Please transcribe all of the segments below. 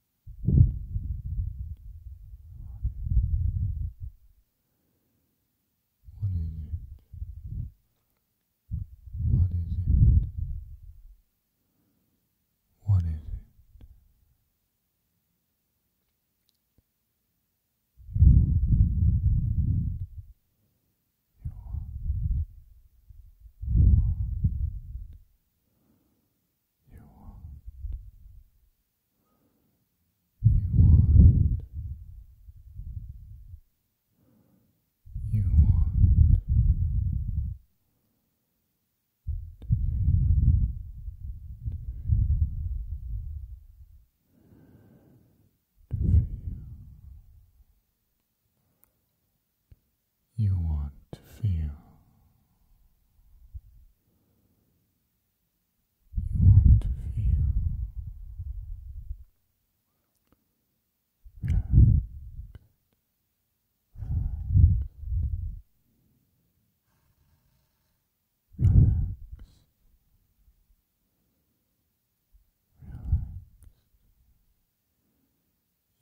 What is it? What is it? What is it? You want, you want, you want, you want. You want. You want to feel, to feel, to feel you want to feel. You want to feel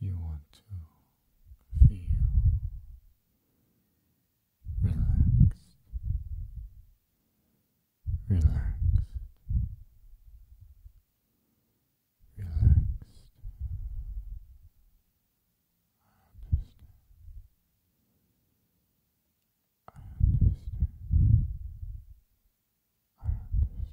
you want to feel relaxed, relaxed, relaxed. I understand. I understand. I understand.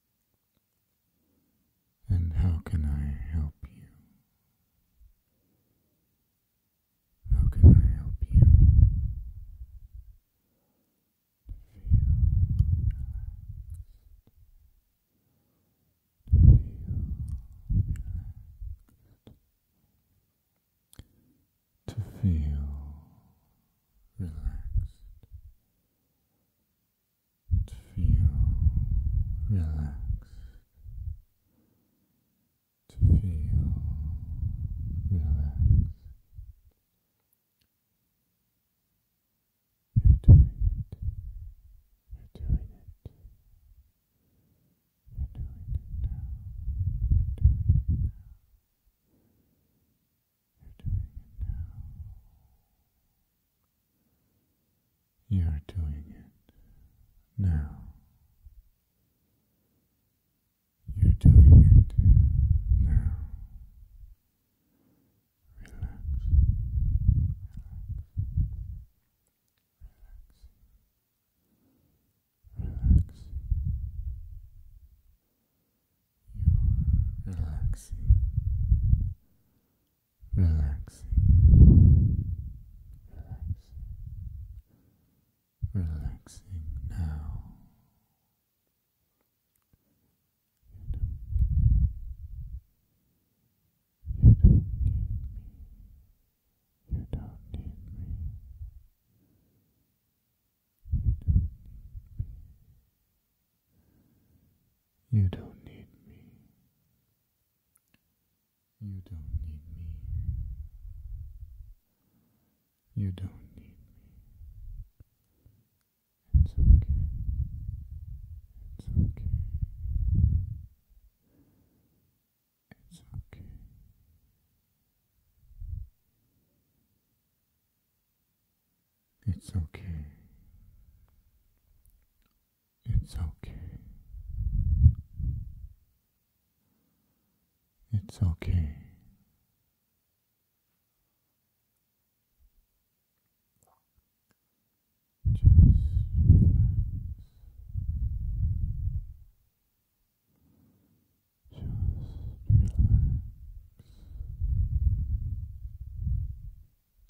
And how can I help you? How can I help you to feel relaxed? To feel To feel to feel relaxed, to feel relaxed. You're doing it. You're doing it. You're doing it You're doing it you're doing it now. You're doing it now. Relax. Relax. Relax. Relax. You're relaxing, relaxing, relaxing now. You don't, you don't You don't need me. You don't you don't need me. You don't need me. You don't need me. It's okay. It's okay. It's okay. It's okay. It's okay. It's okay. Just relax. Just relax.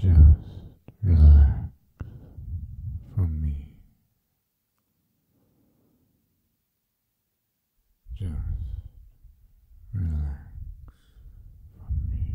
Just relax for me. Just relax for me.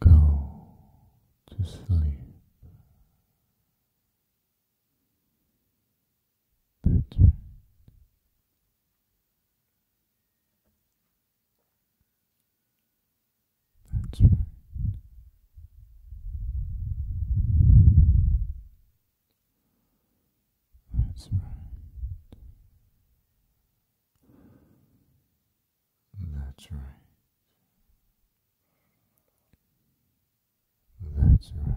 Go to sleep. Better. That's right. That's right. That's right. That's right.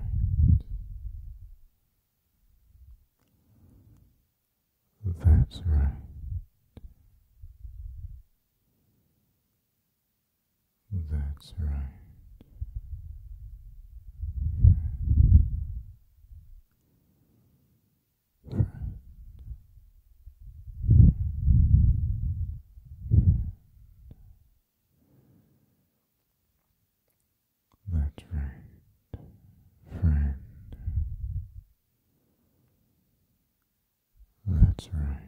That's right. That's right. That's right, friend. That's right. Friend.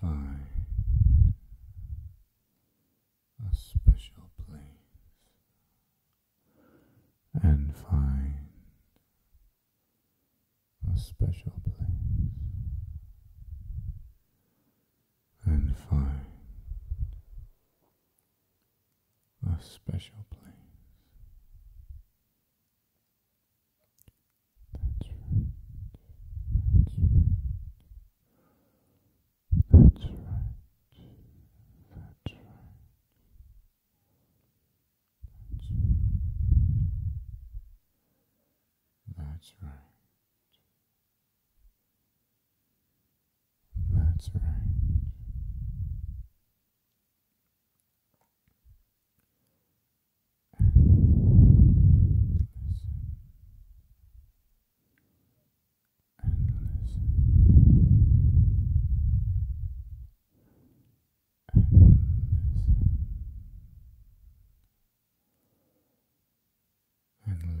find a special place and find a special place and find a special place that's right. That's right. That's right. That's right. That's right. That's right and listen and listen and listen.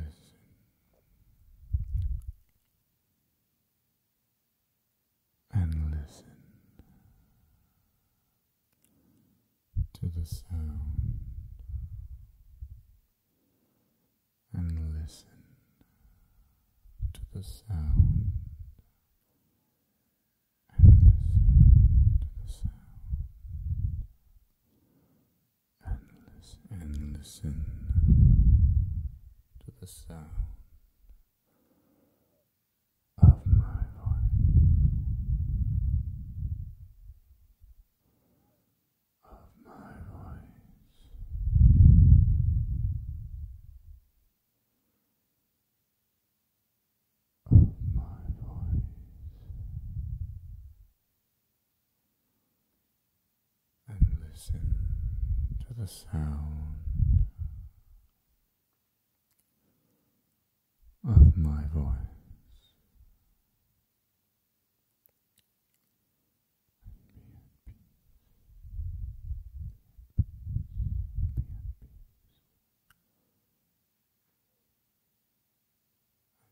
And listen. And listen to the sound and listen to the sound and listen to the sound and listen and listen to the sound of my voice, of my voice, of my voice. And listen to the sound of my voice.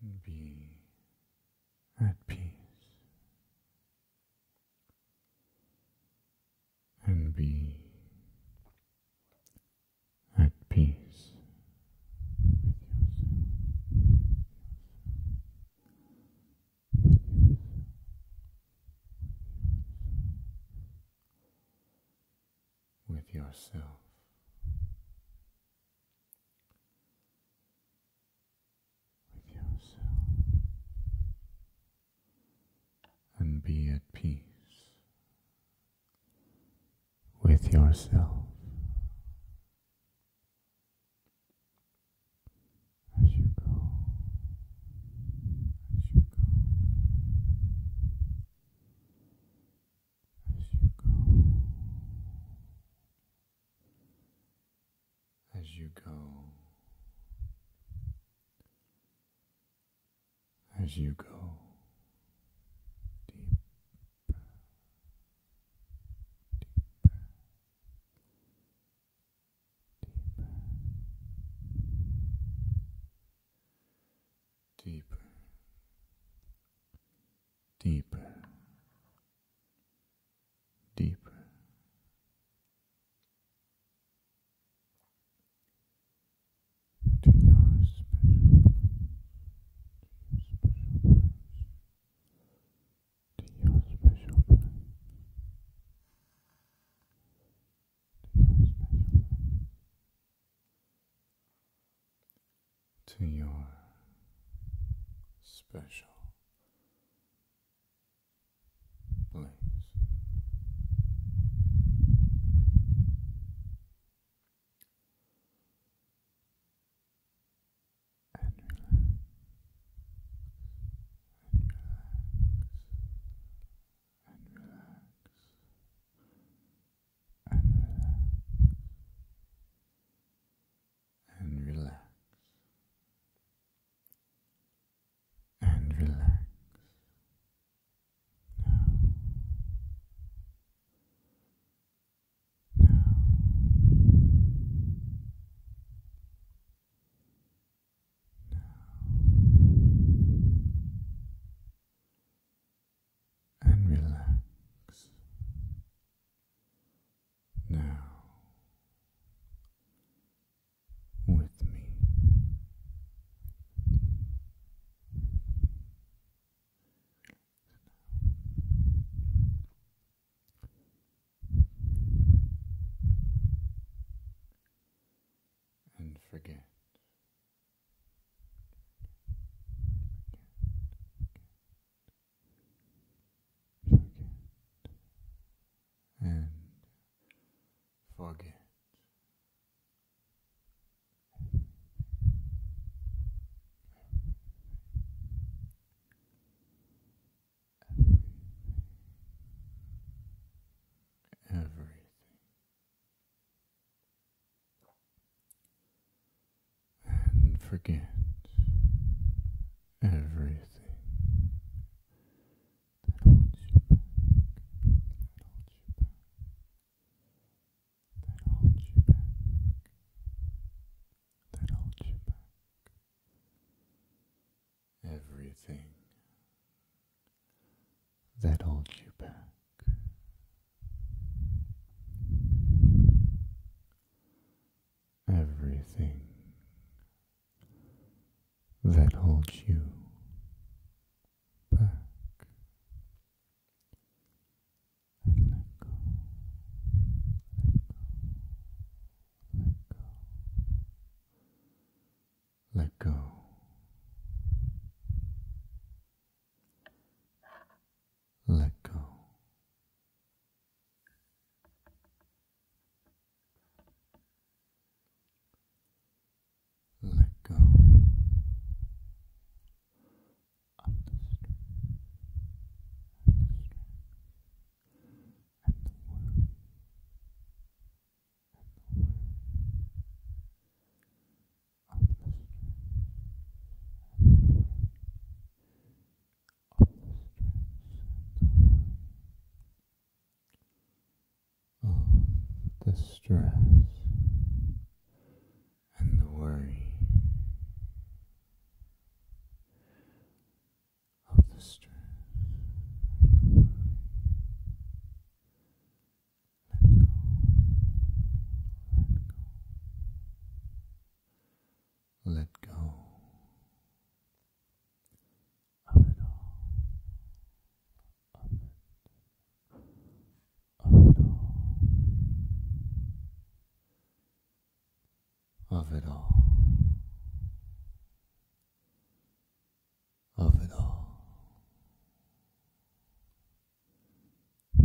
And be at peace. And be at peace with yourself. With yourself. With yourself. And be at peace with yourself. As you go, as you go, as you go, as you go, as you go deeper, deeper, deeper, deeper, deeper, deeper to your special place, to your special place, to your special place, and relax and relax and relax and relax and relax and relax now. Now. And relax now With me and forget. forget. And forget Everything. And forget everything that holds you that holds you back, that holds you back. Everything that holds you back. Everything that holds you back let go, let go, let go, let go. Let go let go of the stress and the stress and the worry and the worry of the stress and the worry of the stress and the worry of the stress and the worry of the stress Let go, let go, let go of it, all, of it all, of it all.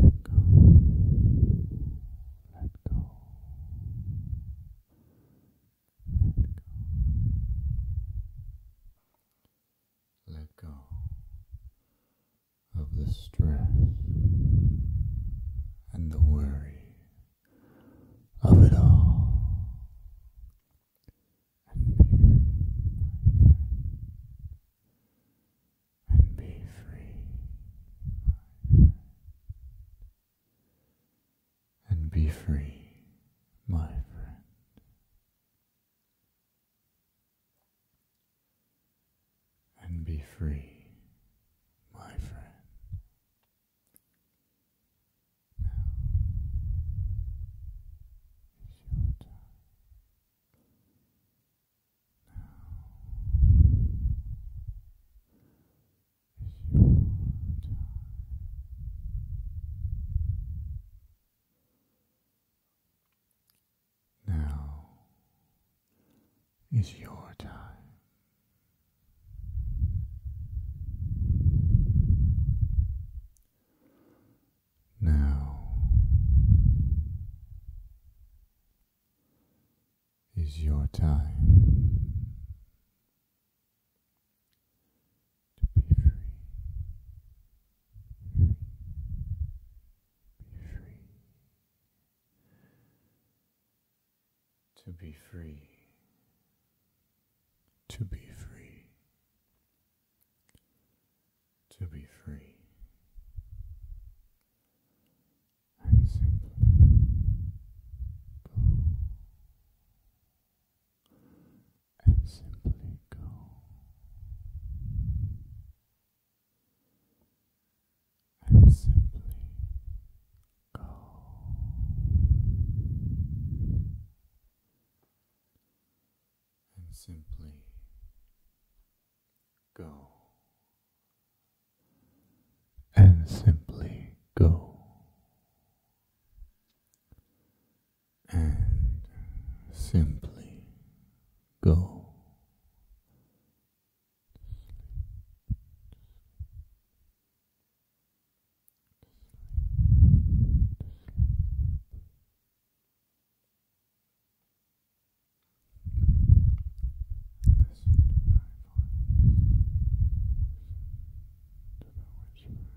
Let go, let go, let go let go of the stress and the worry of it all. And be free, my friend. And be free, my friend and be free, my friend. Now is your time. Now is your time. Now is your time. Now is your time to be free, be free, to be free, to be free, to be free. And simply and simply go. And simply go. And simply go. And simply go and simply go. Listen to my voice. To the whisper.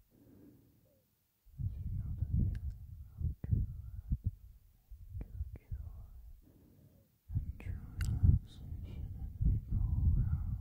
and true relaxation as we go around and we appreciate everything we're given. And I hope you do.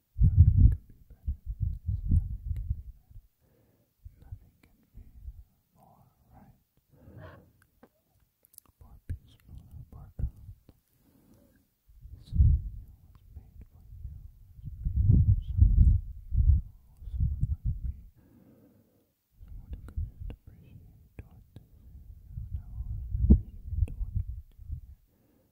Nothing could be better than this. Nothing can be better. Nothing can be more right. More peaceful, more calm. This video was made for you. It was made for someone like you or someone like me. Someone who can just appreciate what this is and appreciate what we do here.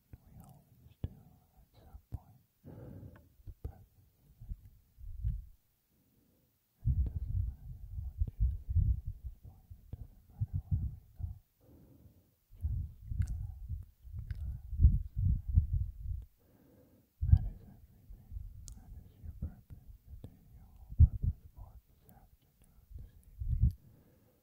we always do at some point, the it doesn't matter what you think it doesn't matter where we go. That is everything. That is your purpose. That is your whole purpose for this afternoon, this evening.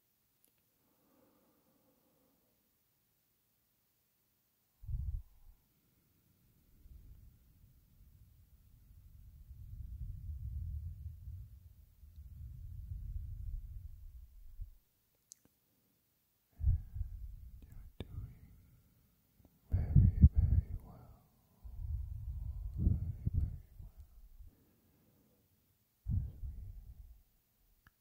You're doing very, very well. Very, very well. As we